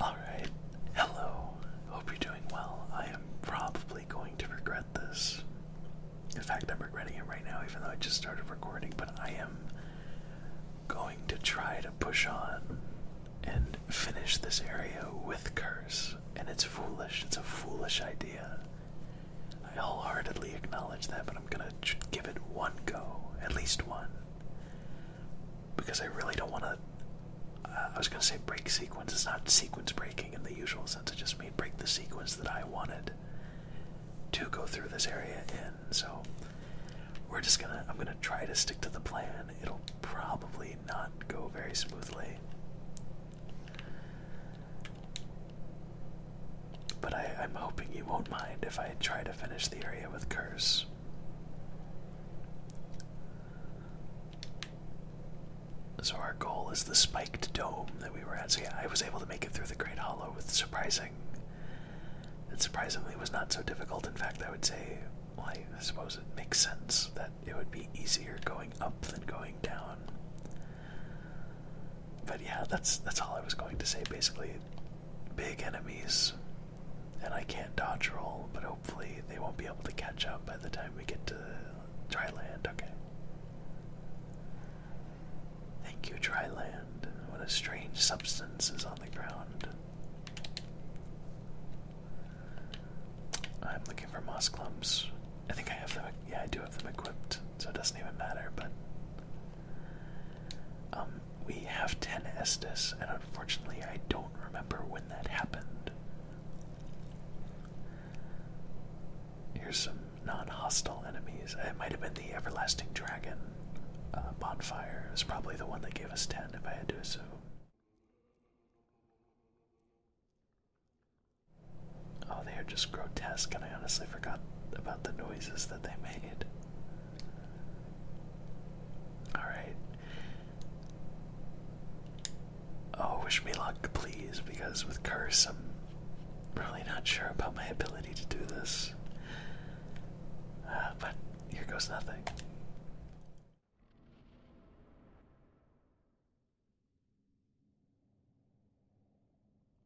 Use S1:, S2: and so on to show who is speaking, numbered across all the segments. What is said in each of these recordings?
S1: Alright, hello. Hope you're doing well. I am probably going to regret this. In fact, I'm regretting it right now, even though I just started recording, but I am going to try to push on and finish this area with Curse. And it's foolish, it's a foolish idea. I wholeheartedly acknowledge that, but I'm gonna give it one go, at least one because I really don't want to. Uh, I was going to say break sequence. It's not sequence breaking in the usual sense. It just means break the sequence that I wanted to go through this area in. So we're just gonna. I'm gonna try to stick to the plan. It'll probably not go very smoothly. But I, am hoping you won't mind if I try to finish the area with curse. So our goal is the spiked dome that we were at. So yeah, I was able to make it through the Great Hollow with surprising. It surprisingly was not so difficult. In fact, I would say, I suppose it makes sense that it would be easier going up than going down. But yeah, that's that's all I was going to say. Basically, big enemies, and I can't dodge roll, but hopefully they won't be able to catch up by the time we get to dry land. Okay. Thank you, dry land. What a strange substance is on the ground. I'm looking for moss clumps. I think I have them. Yeah, I do have them equipped, so it doesn't even matter. But um, we have 10 Estes, and unfortunately, I don't remember when that happened. Here's some non hostile enemies. It might have been the Everlasting Dragon uh, bonfire, was probably the one that gave us 10, if I had to assume. Oh, they are just grotesque, and I honestly forgot about the noises that they made. All right. Oh, wish me luck, please, because with curse, I'm really not sure about my ability to do this. Uh, but here goes nothing.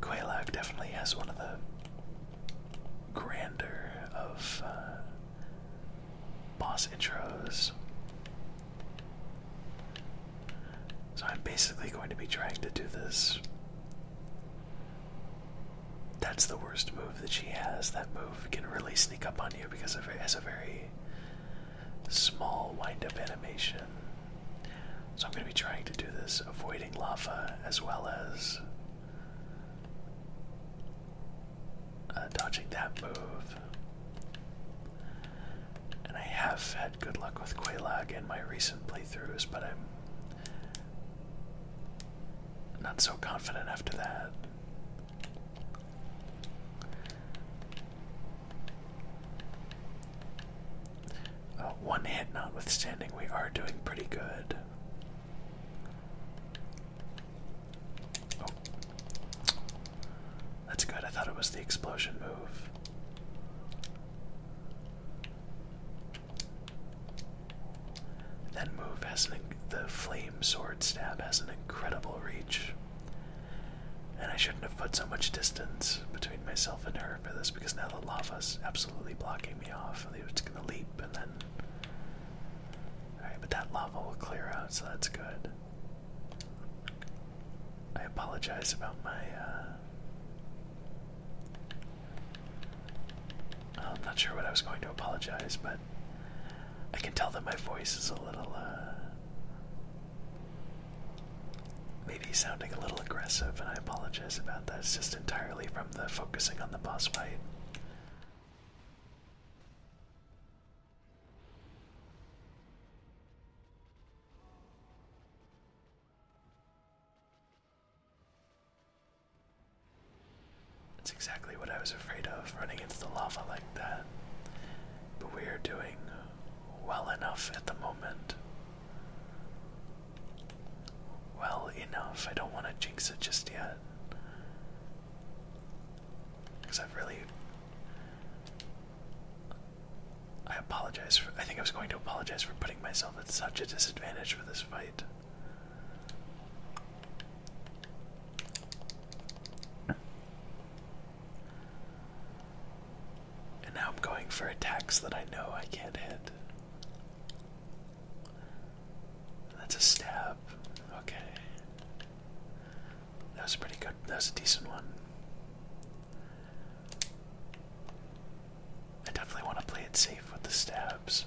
S1: Quaylock definitely has one of the grander of uh, boss intros. So I'm basically going to be trying to do this. That's the worst move that she has. That move can really sneak up on you because it has a very small wind up animation. So I'm going to be trying to do this avoiding lava as well as uh, dodging that move. And I have had good luck with Quailag in my recent playthroughs, but I'm not so confident after that. Uh, one hit notwithstanding, we are doing pretty good. Oh. That's good. I thought it was the explosion move. That move has an the flame sword stab has an incredible reach. And I shouldn't have put so much distance between myself and her for this because now the lava's absolutely blocking me off. It's gonna leap and then. Alright, but that lava will clear out, so that's good. I apologize about my. Uh, I'm not sure what I was going to apologize, but I can tell that my voice is a little. Uh, Maybe sounding a little aggressive, and I apologize about that. It's just entirely from the focusing on the boss fight. That's exactly what I was afraid of, running into the lava like that. But we are doing well enough at the moment. Well enough. I don't want to jinx it just yet. Because I've really. I apologize for. I think I was going to apologize for putting myself at such a disadvantage for this fight. And now I'm going for a attacks that I know I can't hit. That's a stab. Okay. That was pretty good. That was a decent one. I definitely want to play it safe with the stabs.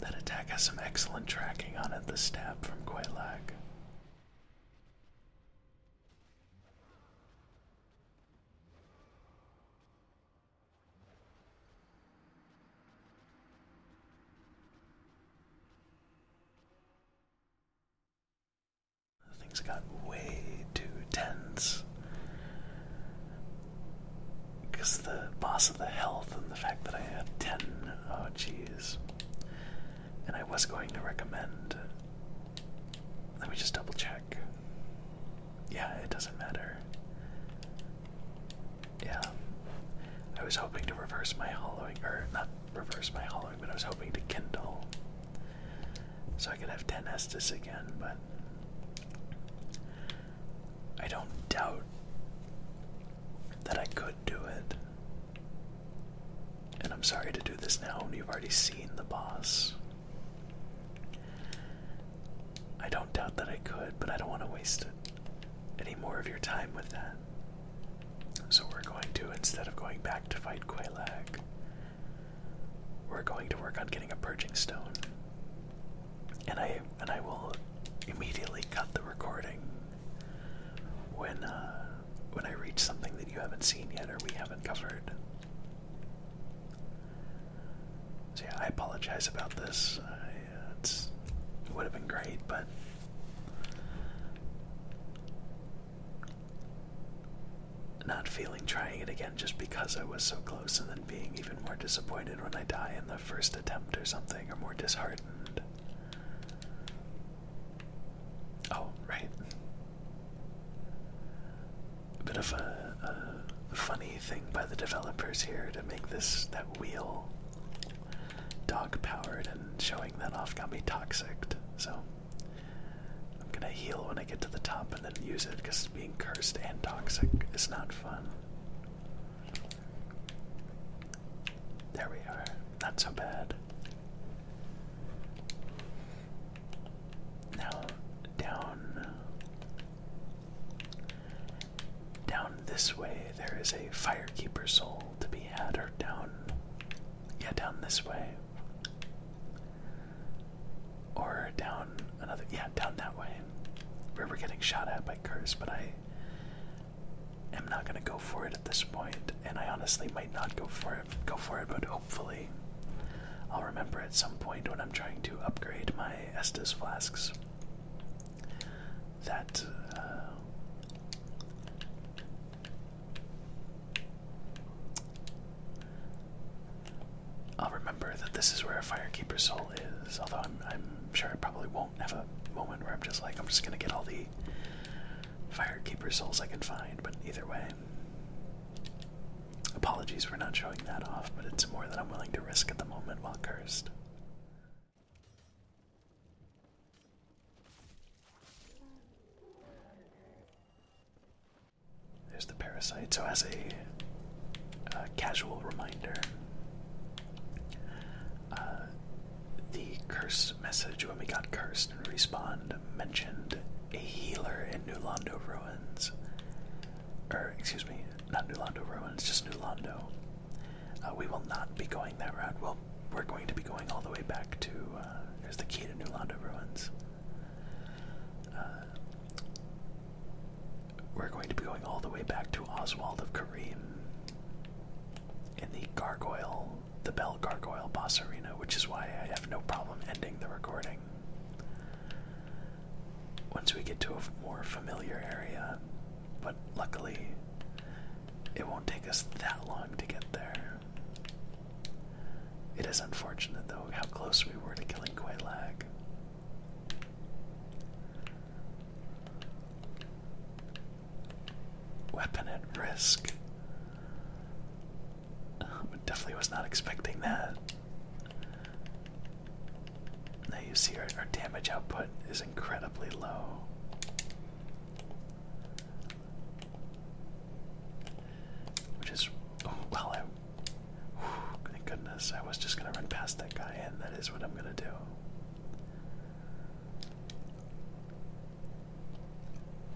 S1: That attack has some excellent tracking on it, the stab from Quelac. Things got way too tense. Because the boss of the health and the fact that I had 10, oh jeez. And I was going to recommend. Let me just double check. Yeah, it doesn't matter. Yeah. I was hoping to reverse my hollowing, or not reverse my hollowing, but I was hoping to kindle. So I can have 10 Estus again, but I don't doubt that I could do it. And I'm sorry to do this now when you've already seen the boss. I don't doubt that I could, but I don't want to waste any more of your time with that. So we're going to, instead of going back to fight Quailag, we're going to work on getting a purging stone and I and I will immediately cut the recording when uh, when I reach something that you haven't seen yet or we haven't covered. So yeah, I apologize about this. Uh, it would have been great, but. Not feeling trying it again just because I was so close and then being even more disappointed when I die in the first attempt or something, or more disheartened. Oh, right. A bit of a funny thing by the developers here to make this that wheel dog powered, and showing that off got me toxic. So I'm gonna heal when I get to the top and then use it because being cursed and toxic is not fun. There we are. Not so bad. Now down down this way there is a firekeeper soul to be had or down yeah down this way or down another yeah down that way where we are getting shot at by curs, but I am not gonna go for it at this point, and I honestly might not go for it go for it, but hopefully I'll remember at some point when I'm trying to upgrade my Estus flasks that uh, I'll remember that this is where a firekeeper's soul is. Although I'm, sure I probably won't have a moment where I'm just like, I'm just gonna get all the firekeeper's souls I can find. But either way, apologies for not showing that off, but it's more that I'm willing to risk at the moment while cursed. There's the parasite. So as a uh, casual reminder. Uh, the curse message when we got cursed and respawned mentioned a healer in New Londo Ruins. Or, er, excuse me, not New Londo Ruins, just New Londo. Uh, we will not be going that route. we're going to be going all the way back to. Uh, there's the key to New Londo Ruins we're going to be going all the way back to Oswald of Kareem in the gargoyle, the Bell Gargoyle boss arena, which is why I have no problem ending the recording. Once we get to a more familiar area, but luckily it won't take us that long to get there. It is unfortunate though how close we were to killing Quaylag. Weapon at risk. Um, definitely was not expecting that. Now you see our, damage output is incredibly low. Which is, oh, well, goodness, I was just gonna run past that guy, and that is what I'm gonna do.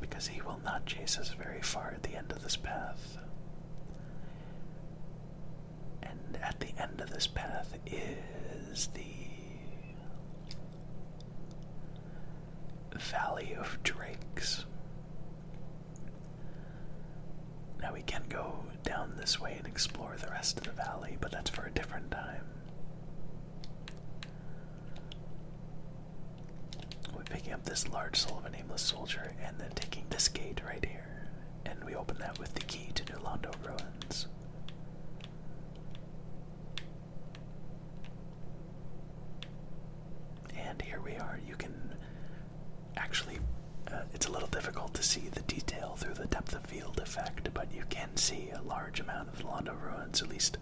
S1: Because he will not chase us very far at the end of this path. And at the end of this path is the Valley of Drakes. Now we can go down this way and explore the rest of the valley, but that's for a different time. We're picking up this large soul of a nameless soldier and then taking this gate right here. And we open that with the key to New Londo Ruins. And here we are. You can Actually, uh, it's a little difficult to see the detail through the depth of field effect, but you can see a large amount of the Londo ruins, at least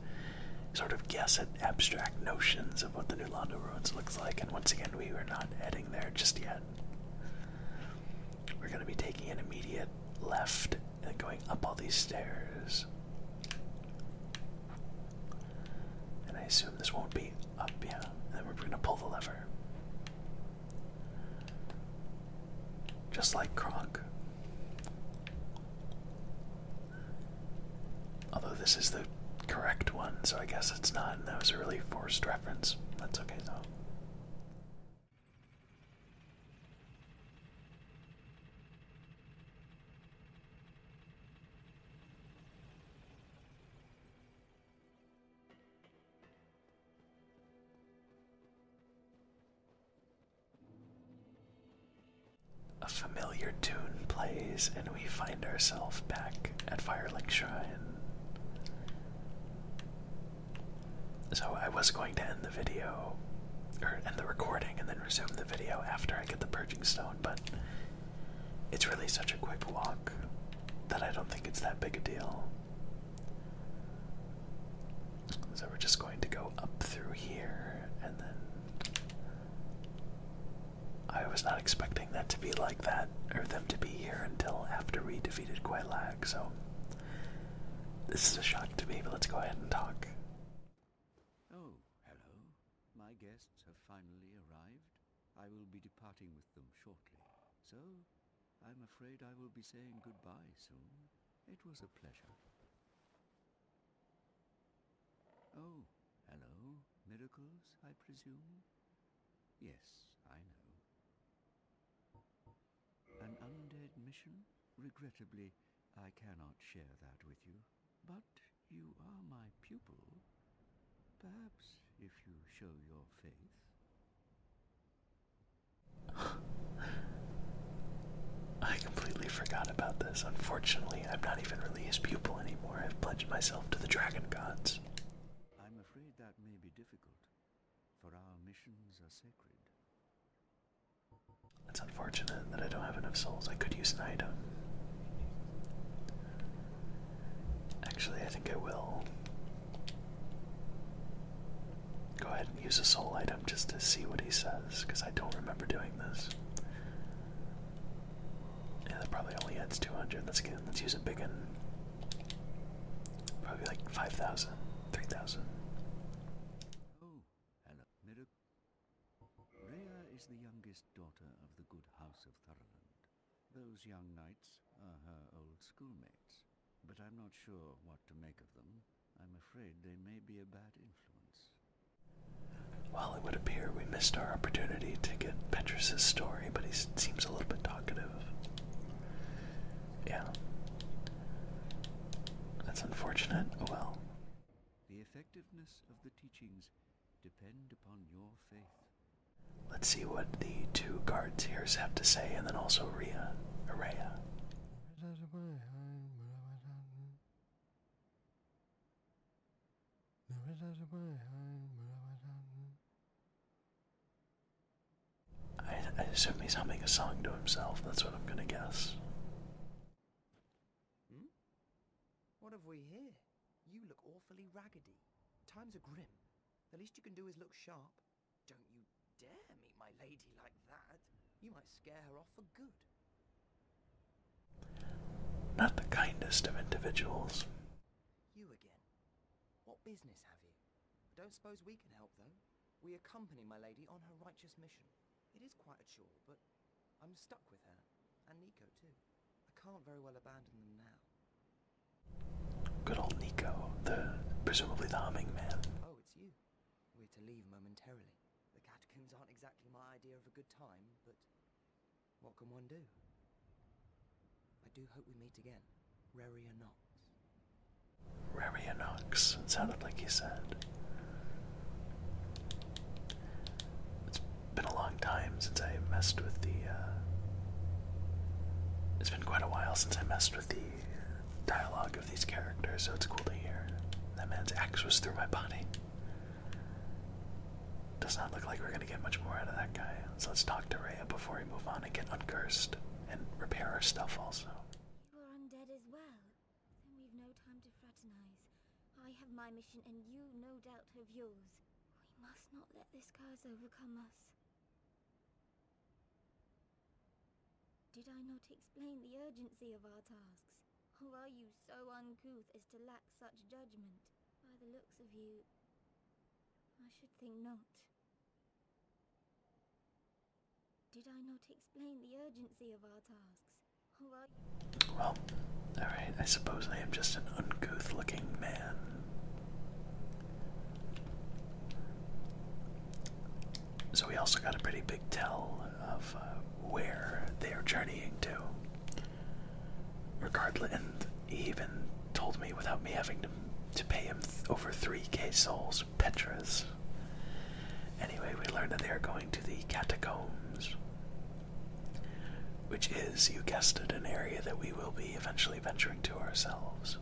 S1: sort of guess at abstract notions of what the new Londo ruins looks like. And once again, we are not heading there just yet. We're going to be taking an immediate left and going up all these stairs. And I assume this won't be up, yeah. And then we're going to pull the lever. Just like Kronk. Although this is the correct one, so I guess it's not, and that was a really forced reference. That's okay though. A familiar tune plays, and we find ourselves back at Firelink Shrine. So, I was going to end the video, or end the recording, and then resume the video after I get the Purging Stone, but it's really such a quick walk that I don't think it's that big a deal. So we're just going to go up through here and then. I was not expecting that to be like
S2: that, or them to be here until after we defeated Quailag, so. This is a shock to me, but let's go ahead and talk. Oh, hello. My guests have finally arrived. I will be departing with them shortly. So, I'm afraid I will be saying goodbye soon. It was a pleasure. Oh, hello. Miracles, I presume? Yes, I know. An undead mission? Regrettably, I cannot share that with you. But you are my pupil. Perhaps if you show your
S1: faith. I completely forgot about this. Unfortunately, I'm not even really his pupil anymore. I've pledged myself to the dragon gods. I'm
S2: afraid that may be difficult, for our missions are sacred.
S1: It's unfortunate that I don't have enough souls. I could use an item. Actually, I think I will go ahead and use a soul item just to see what he says, because I don't remember doing this. Yeah, that probably only adds 200. Let's get let's use a big one. Probably like 5,000, 3,000.
S2: Those young knights are her old schoolmates, but I'm not sure what to make
S1: of them. I'm afraid they may be a bad influence. Well, it would appear we missed our opportunity to get Petrus's story, but he seems a little bit talkative. Yeah. That's unfortunate.
S2: Oh, well. The effectiveness of the teachings depend upon your faith
S1: Let's see what the two guards here have to say, and then also Ria, Araya. I, assume he's humming a song to himself. That's what I'm going to guess. Hmm?
S2: What have we here? You look awfully raggedy. Times are grim. The least you can do is look sharp. Don't you dare meet my lady like that. You might scare her off for good.
S1: Not the kindest of individuals.
S2: You again. What business have you? I don't suppose we can help, though. We accompany my lady on her righteous mission. It is quite a chore, but I'm stuck with her. And Nico, too. I can't very well abandon them now. Good old Nico, the presumably the humming man. Oh, it's you. We're to leave momentarily. The catacombs aren't exactly my idea of a good time, but what can one do? I
S1: do hope we meet again. Raria Knox. Raria Knox, it sounded like he said. It's been a long time since I messed with the uh, it's been quite a while since I messed with the dialogue of these characters, so it's cool to hear. That man's axe was through my body. Does not look like we're gonna get much more out of that guy. So let's talk to Rhea before we move on and get uncursed and repair our stuff also. You are undead as well.
S2: Then we've no time to fraternize. I have my mission and you no doubt have yours. We must not let this curse overcome us. Did I not explain the urgency of our tasks? Or are you so uncouth as to lack such judgment? By the looks of you, I should think not. Did I not explain the urgency of our tasks?
S1: Well, alright, I suppose I am just an uncouth looking man. So we also got a pretty big tell of uh, where they are journeying to. Regardless, even told me without me having to to pay him over 3k souls, Petras. Anyway, we learned that they are going to the catacombs, which is, you guessed it, an area that we will be eventually venturing to ourselves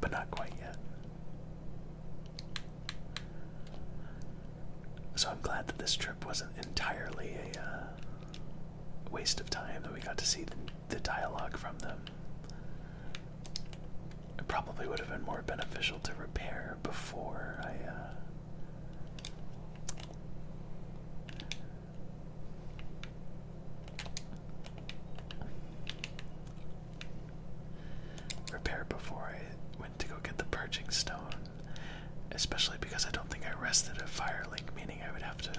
S1: but not quite yet. So I'm glad that this trip wasn't entirely a uh, waste of time, that we got to see the, dialogue from them. It probably would have been more beneficial to repair before I. Uh, Repair before I went to go get the purging stone, especially because I don't think I rested at Firelink, meaning I would have to.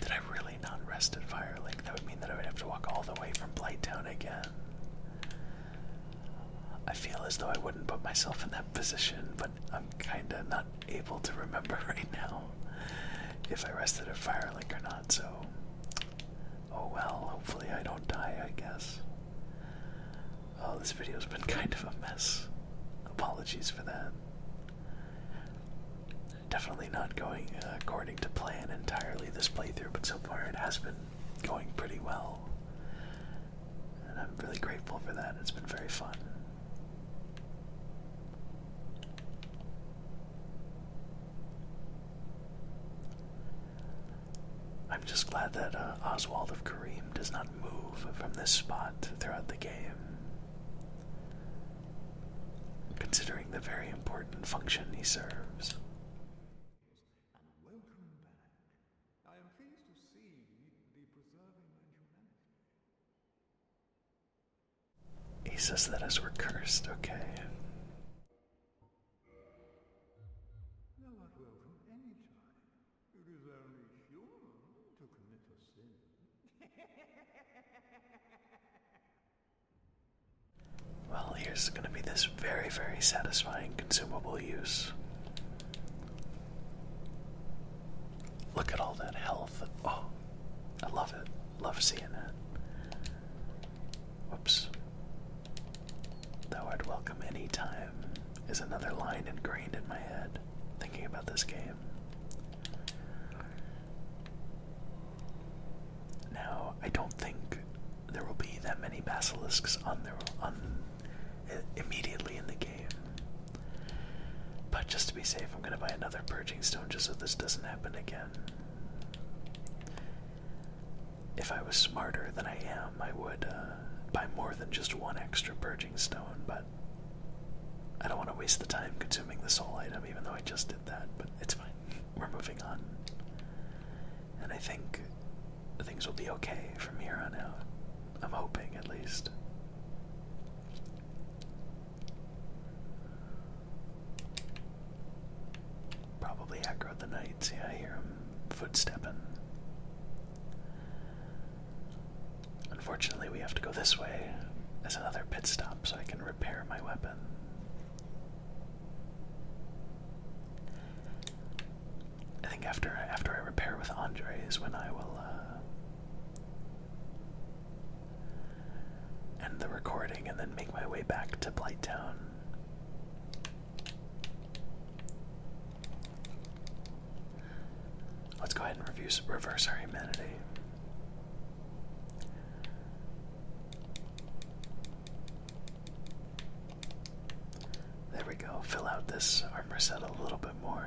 S1: Did I really not rest at Firelink? That would mean that I would have to walk all the way from Blighttown again. I feel as though I wouldn't put myself in that position, but I'm kinda not able to remember right now if I rested at Firelink or not, so oh well, hopefully I don't die, I guess. Oh, this video's been kind of a mess. Apologies for that. Definitely not going uh, according to plan entirely this playthrough, but so far it has been going pretty well. And I'm really grateful for that. It's been very fun. I'm just glad that uh, Oswald of Kareem does not move from this spot throughout the game. Considering the very important function he serves. He says that as we're cursed, okay. well, here's going to be this very, very satisfying consumable use. Look at all that health. Oh, I love it. Love seeing it. Whoops. Thou art welcome any time is another line ingrained in my head thinking about this game. Now, I don't think there will be that many basilisks on the on immediately in the game. But just to be safe, I'm gonna buy another purging stone just so this doesn't happen again. If I was smarter than I am, I would uh, buy more than just one extra purging stone, but I don't want to waste the time consuming this whole item, even though I just did that, but it's fine. We're moving on. And I think things will be okay from here on out. I'm hoping, at least. Probably aggro the knights. Yeah, I hear him footstepping. Unfortunately, we have to go this way as another pit stop so I can repair my weapon. I think after after I repair with Andre is when I will uh, end the recording and then make my way back to Blighttown. Let's go ahead and reverse our humanity. There we go. Fill out this armor set a little bit more.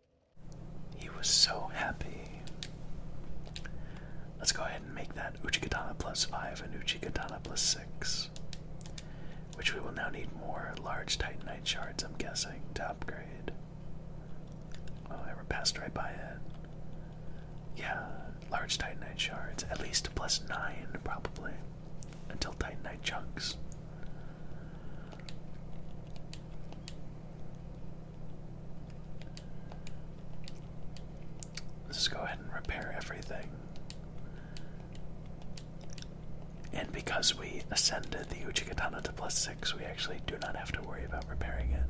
S1: He was so happy. Let's go ahead and make that Uchikatana plus 5 and Uchikatana plus 6. Which we will now need more large Titanite shards, I'm guessing, to upgrade. Oh, I passed right by it. Yeah, large Titanite shards. At least plus 9, probably. Until Titanite chunks. Let's go ahead and repair everything. And because we ascended the Uchigatana to plus six, we actually do not have to worry about repairing it.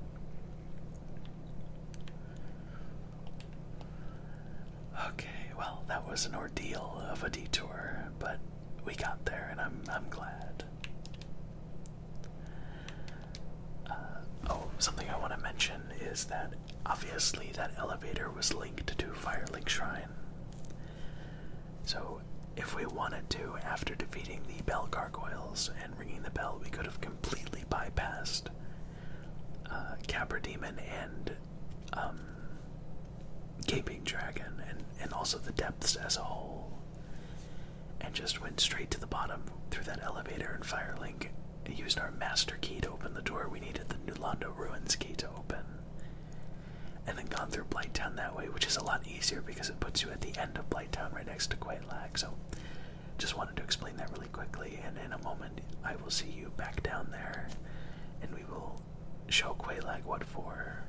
S1: Okay, well, that was an ordeal of a detour, but we got there and I'm I'm glad. Uh, oh, something I want to mention is that obviously that elevator was linked to Firelink Shrine. So, if we wanted to, after defeating the bell gargoyles and ringing the bell, we could have completely bypassed uh, Demon and um, Gaping Dragon, and, and also the depths as a whole and just went straight to the bottom through that elevator and fire link and used our master key to open the door. We needed the Nulando Ruins key to open. And then gone through Blighttown that way, which is a lot easier because it puts you at the end of Blighttown right next to Quaitlack. So just wanted to explain that really quickly and in a moment I will see you back down there and we will show Quaitlack what for.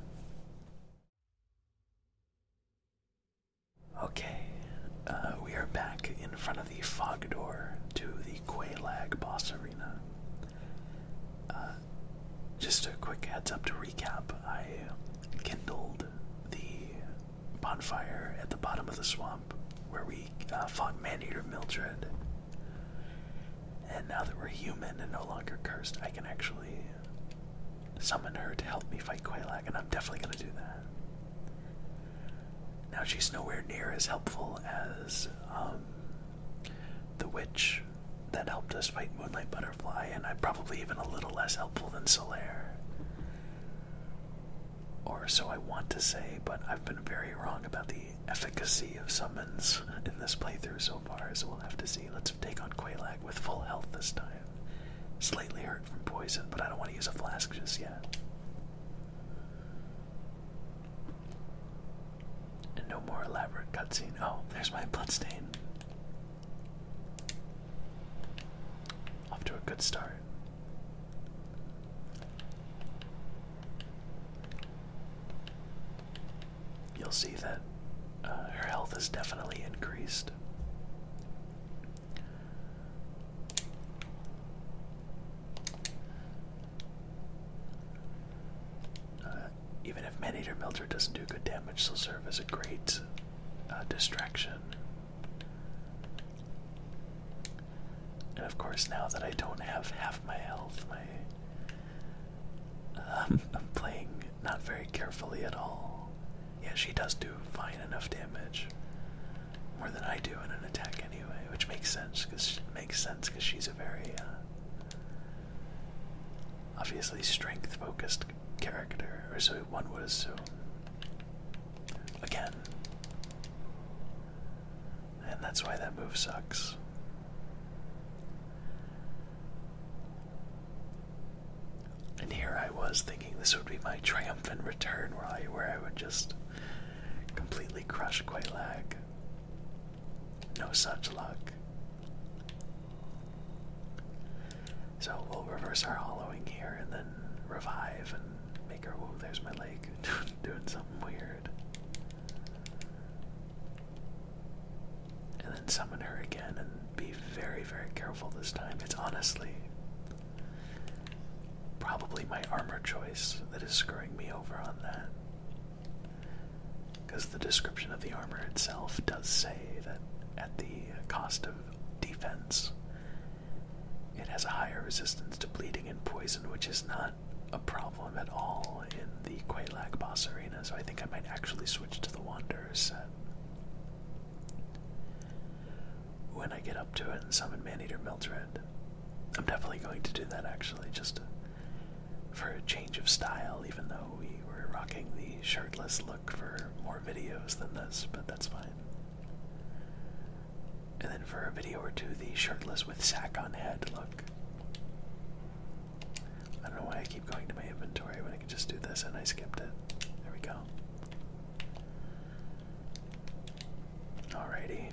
S1: Okay, uh, we are back in front of the fog door to the Quaylag boss arena. Uh, just a quick heads up to recap, I kindled the bonfire at the bottom of the swamp where we uh, fought Man eater Mildred. And now that we're human and no longer cursed, I can actually Summon her to help me fight Quailag, and I'm definitely gonna do that. Now she's nowhere near as helpful as um, the witch that helped us fight Moonlight Butterfly, and I'm probably even a little less helpful than Solaire. Or so I want to say, but I've been very wrong about the efficacy of summons in this playthrough so far, so we'll have to see. Let's take on Quailag with full health this time. Slightly hurt from poison, but I don't want to use a flask just yet. And no more elaborate cutscene. Oh, there's my blood stain. Off to a good start you'll see that uh, her health is definitely increased. Uh, even if Man-Eater Melter doesn't do good damage, they'll serve as a great uh, distraction. And of course, now that I don't have half my health, I'm playing not very carefully at all. Yeah, she does do fine enough damage. More than I do in an attack anyway, which makes sense because makes sense because she's a very uh, obviously strength-focused character, or so one would assume. Again, and that's why that move sucks. And here I was thinking this would be my triumphant return where I where I would just completely crush Quaylag. No such luck. So we'll reverse our hollowing here and then revive and make her whoa, oh, there's my leg doing something weird and then summon her again and be very, very careful this time. It's honestly probably my armor choice that is screwing me over on that. Because the description of the armor itself does say that at the cost of defense, it has a higher resistance to bleeding and poison, which is not a problem at all in the Quelac boss arena. So I think I might actually switch to the Wanderer's uh, when I get up to it and summon Man Maneater Mildred, I'm definitely going to do that actually, just for a change of style, even though we were rocking the shirtless look for more videos than this, but that's fine. And then for a video or two, the shirtless with sack on head look. I don't know why I keep going to my inventory when I could just do this and I skipped it. There we go. Alrighty.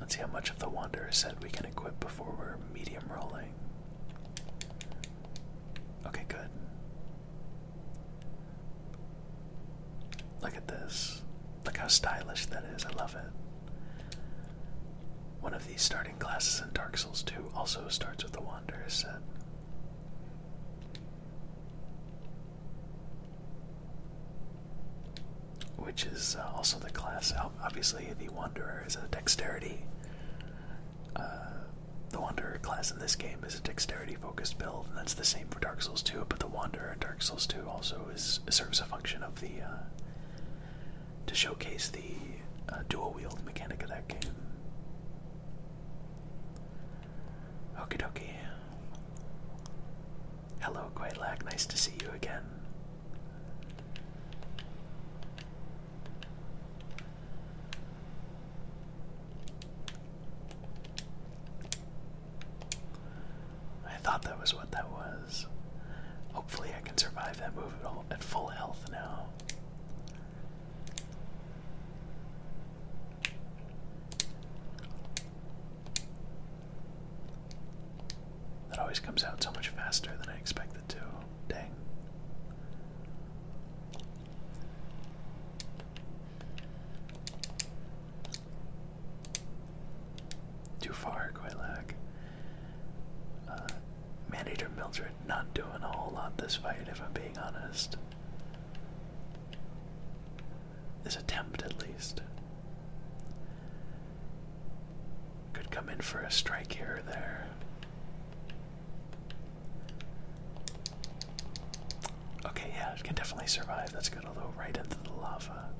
S1: Let's see how much of the Wanderer set we can equip before we're medium rolling. Okay, good. Look at this. Look how stylish that is. I love it. One of these starting classes in Dark Souls 2 also starts with the Wanderer set. Which is uh, also the class. Obviously, the Wanderer is a dexterity. Uh, the Wanderer class in this game is a dexterity focused build, and that's the same for Dark Souls 2, but the Wanderer in Dark Souls 2 also is serves a function of. Uh, to showcase the uh, dual wield mechanic of that game. Okie dokie. Hello, Quaitlack. Nice to see you again. I thought that was what that was. Hopefully, I can survive that move at, at full health now. That always comes out so much faster than I expected to. Dang. Too far, Quillac. Uh, Maneater Mildred not doing a whole lot this fight, if I'm being honest. This attempt, at least. Could come in for a strike here or there. Okay, yeah, it can definitely survive. That's good, although right into the lava.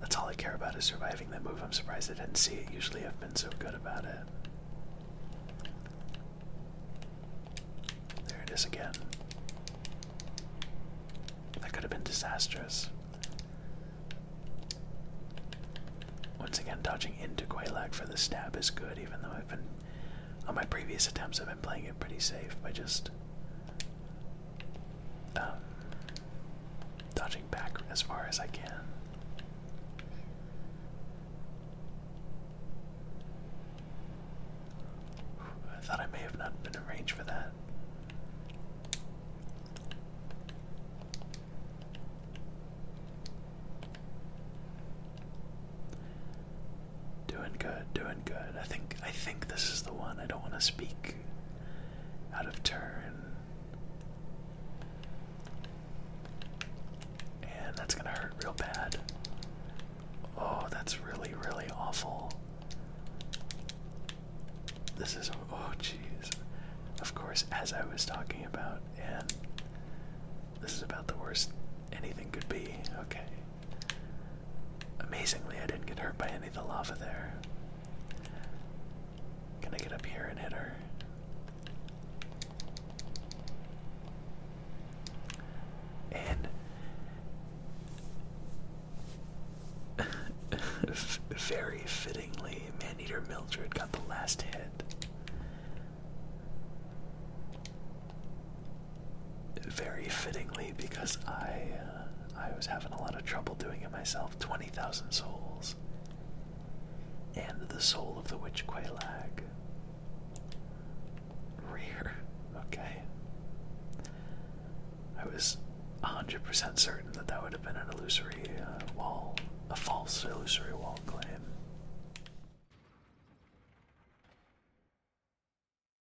S1: That's all I care about is surviving that move. I'm surprised I didn't see it. Usually I've been so good about it. There it is again. That could have been disastrous. Once again, dodging into Quaylag for the stab is good, even though I've been. On my previous attempts, I've been playing it pretty safe by just um, dodging back as far as I can. I thought I may have not been in range for that. Doing good, doing good. I think I think this is the one. I don't want to speak out of turn. And that's gonna hurt real bad. Oh, that's really, really awful. This is, oh jeez. Of course, as I was talking about, and this is about the worst anything could be. Okay. Amazingly, I didn't get hurt by any of the lava there. Can I get up here and hit her? And very fittingly, Maneater Mildred got the last hit. Very fittingly, because I uh, I was having a lot of trouble doing it myself. 20,000 souls. And the soul of the witch Quailag. Rare. Okay. I was 100% certain that that would have been an illusory uh, wall, a false illusory wall claim.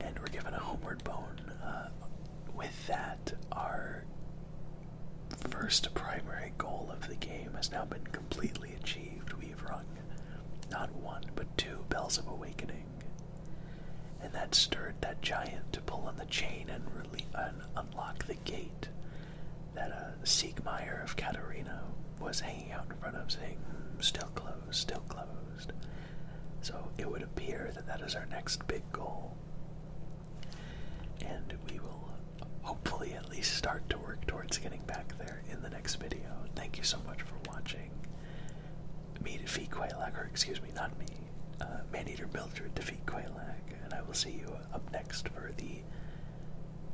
S1: And we're given a homeward bone. Uh, with that, our first primary goal of the game has now been completely achieved. We've rung not one, but two bells of awakening. And that stirred that giant to pull on the chain and, unlock the gate that uh, Siegmeyer of Katerina was hanging out in front of, saying, hmm, Still closed, still closed. So it would appear that that is our next big goal. And we will hopefully at least start to work towards getting back there in the next video. Thank you so much for watching. Me defeat Quailag, or excuse me, not me, uh, Maneater Builder defeat Quailag, and I will see you up next for the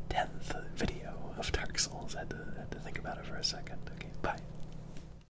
S1: 10th video of Dark Souls. I had to think about it for a second. Okay, bye.